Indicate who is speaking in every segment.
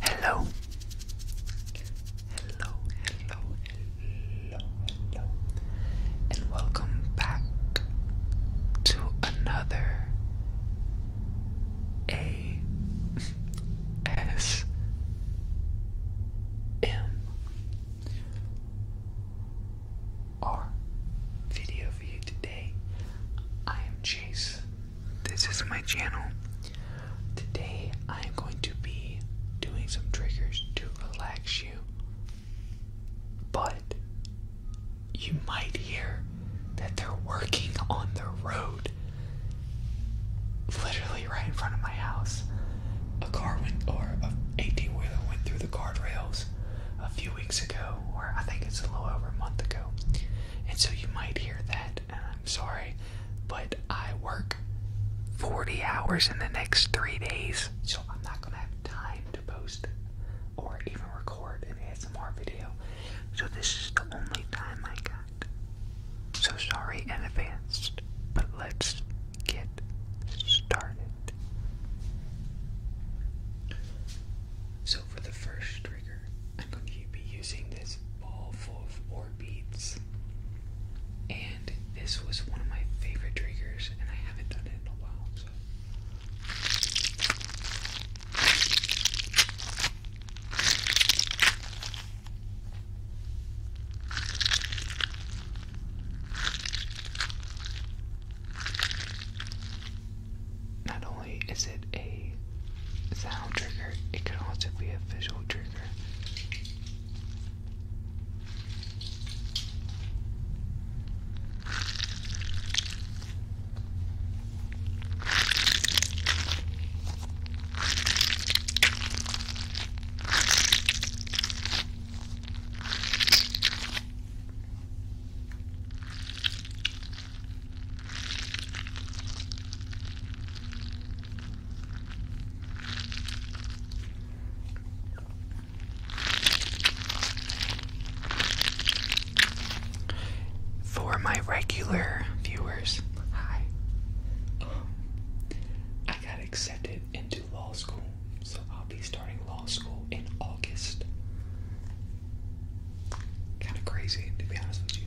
Speaker 1: Hello. Hello, hello, hello, and welcome back to another A S M R video for you today. I am Chase. This is my channel. Today I am going to be doing some triggers to relax you. But you might hear that they're working on the road. Literally right in front of my house. A car went, or a 18 wheeler went through the guardrails a few weeks ago, or I think it's a little over a month ago and so you might hear that. And uh, I'm sorry, but I work 40 hours in the next three days, so I'm not gonna have time to post or even record an ASMR video. So this is the only time I got. So sorry in advance, but let's get started. So, for the first trigger, I'm going to be using this ball full of ore beads. And this was one of my favorite triggers, and I haven't done it in a while, not only is it a sound trigger, it can also be a visual trigger. For my regular viewers, hi. Um, I got accepted into law school, so I'll be starting law school in August. Kind of crazy, to be honest with you.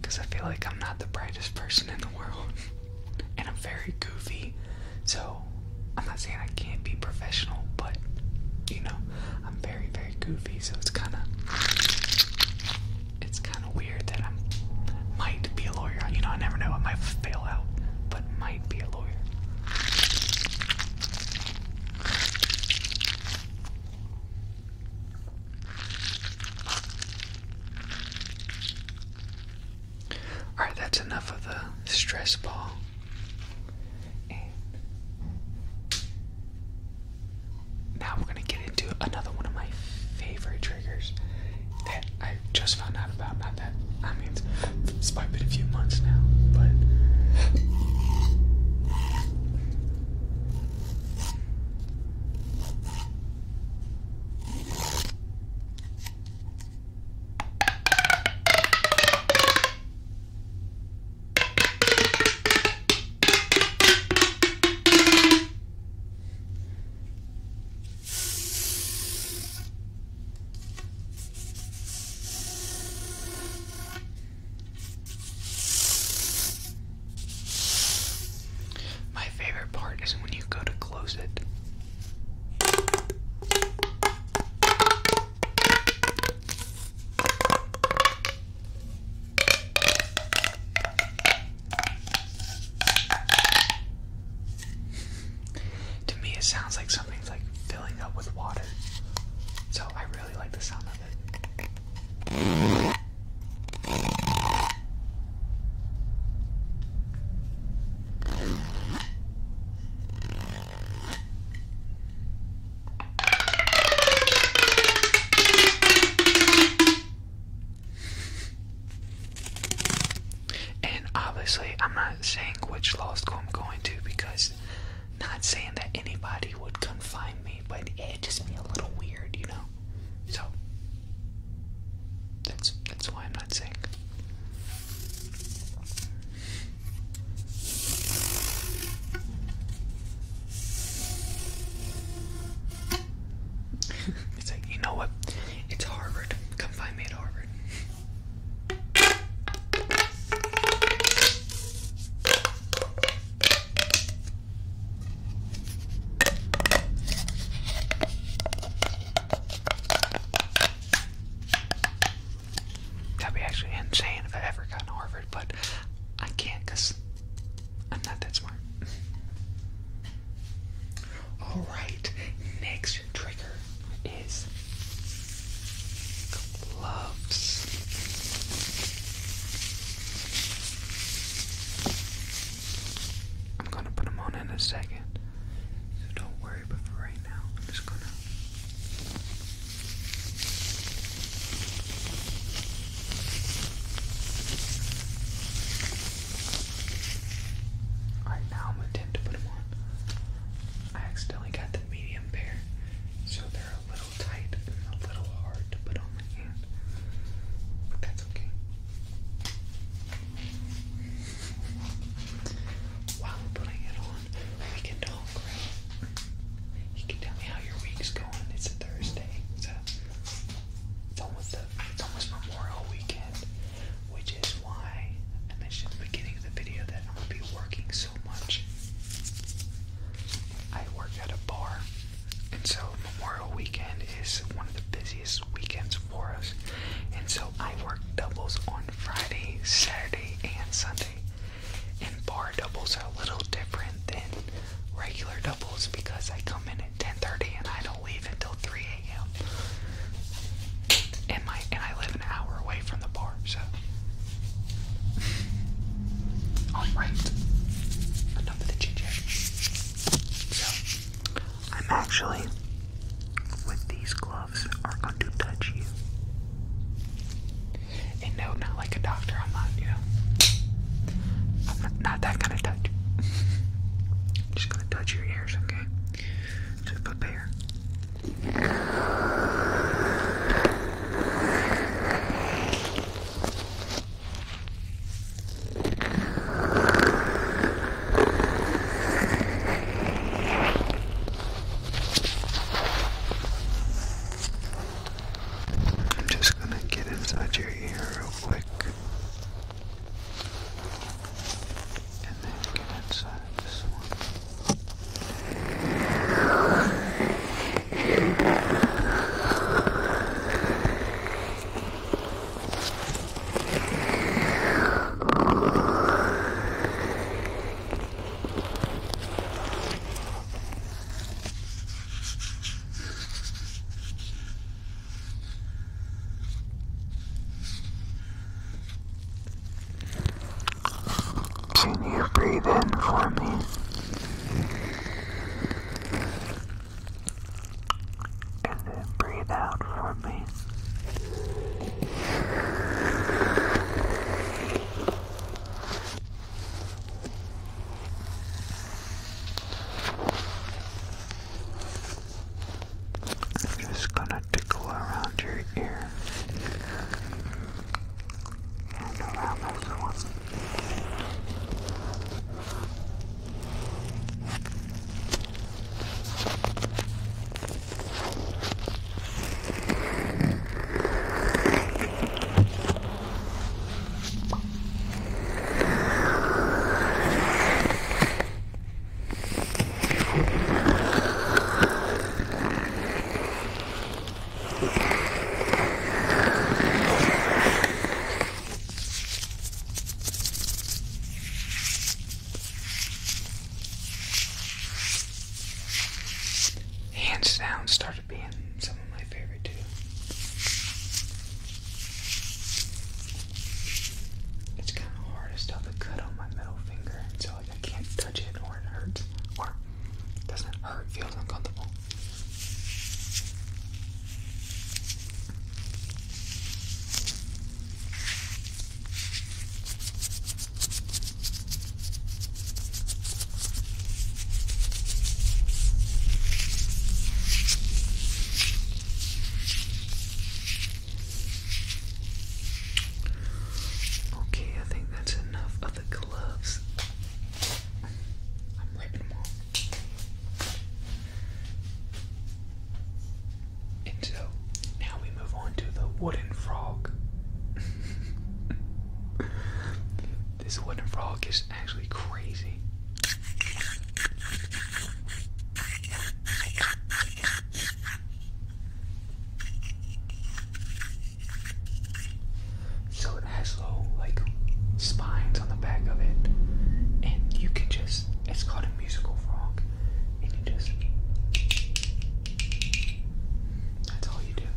Speaker 1: Because I feel like I'm not the brightest person in the world. and I'm very goofy. So, I'm not saying I can't be professional, but, you know, I'm very, very goofy. So it's kind of. It's kind of weird that I might be a lawyer. You know, I never know. what might fail out, but might might be a lawyer. Alright, that's enough of the stress ball. now we're going to get into another one of my favorite triggers I just found out about not that I mean it's, it's probably been a few months now, but my favorite part is when you go to close it. To me, it sounds like something's like filling up with water. So I really like the sound of it. And obviously, I'm not saying which law school I'm going to because not saying that anybody would come find me, but it just be a little weird, you know. So that's that's why I'm not saying. it's like you know what? It's Harvard. Come find me at Harvard. That'd be actually insane if I ever got to Harvard, but I can't I'm not that smart. All right, next trigger is gloves. I'm gonna put them on in a second, so don't worry. But right now, just gonna. Alright, now I'm gonna put them on. I accidentally got the medium pair, so they're a little tight and a little hard to put on my hand. But that's okay. While I'm putting it on, we can talk, You can tell me how your week's going. It's Thursday. it's almost Memorial Weekend which is why I mentioned at the beginning of the video that I'm going to be working so much. I work at a bar, and so Memorial Weekend is one of the busiest weekends for us, and so I work doubles on Friday, Saturday, and Sunday. And bar doubles are a little different than regular doubles because I come in at 10:30 and I don't leave until 3 a.m. And my and I live an hour away from the bar, so alright. Enough of the GJ. So I'm actually with these gloves are going to touch you. And no, not like a doctor, I'm not, you I'm not, that kind of touch. just gonna touch your ears, to prepare. I'm just going to get inside your ear real quick and then get inside this one. Can you breathe in for me? And then breathe out for me. I'm just gonna tickle around your ear and around this one. Hands down, started being some of my favorite too. It's kind of hard. to still have a cut on my middle finger, so like I can't touch it, or it hurts, or doesn't hurt. Feels uncomfortable. Okay, I think that's enough of the gloves. I'm ripping them off. so, now we move on to the wooden frog. this wooden frog is actually crazy. So it has little, like spines on the back of it, and you can just it's called a musical frog, and you just that's all you do.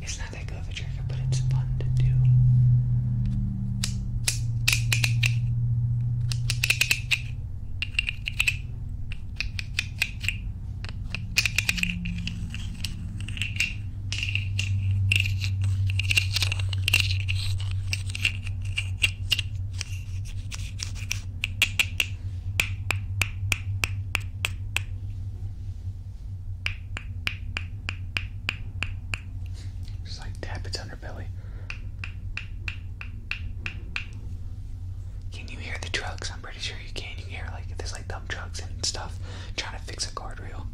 Speaker 1: It's not that good of a trigger, but it's fun to do. Just like tap its underbelly. Can you hear the trucks? I'm pretty sure you can. You hear like there's like dump trucks and stuff trying to fix a guardrail.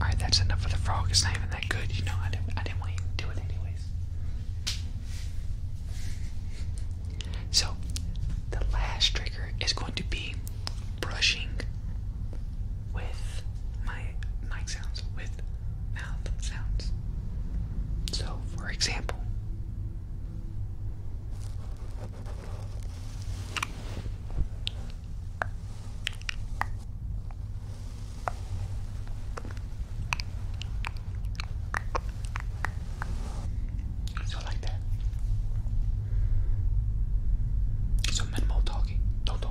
Speaker 1: Alright, that's enough of the frog. It's not even that good, you know. I didn't, I didn't want to do it, anyways. So, the last trigger is going to be brushing with my mic sounds with mouth sounds. So, for example, so like that. It's So minimal talking. No talking.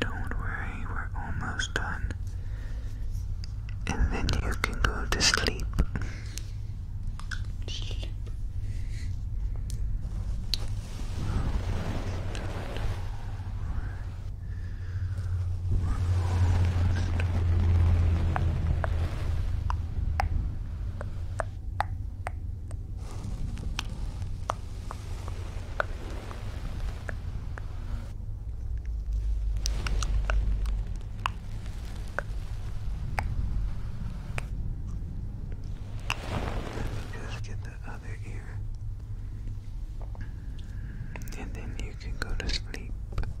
Speaker 1: Don't worry, we're almost done. And then you can go to sleep. We're almost done. Just get the other ear, and then you can go to sleep.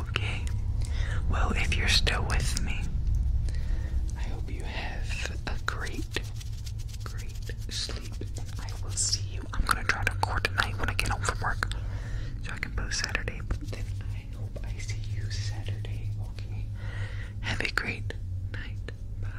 Speaker 1: Okay, well, if you're still with me, I hope you have a great, great sleep. I will see you. I'm gonna try to record tonight when I get home from work so I can post Saturday, but then I hope I see you Saturday, okay? Have a great night. Bye.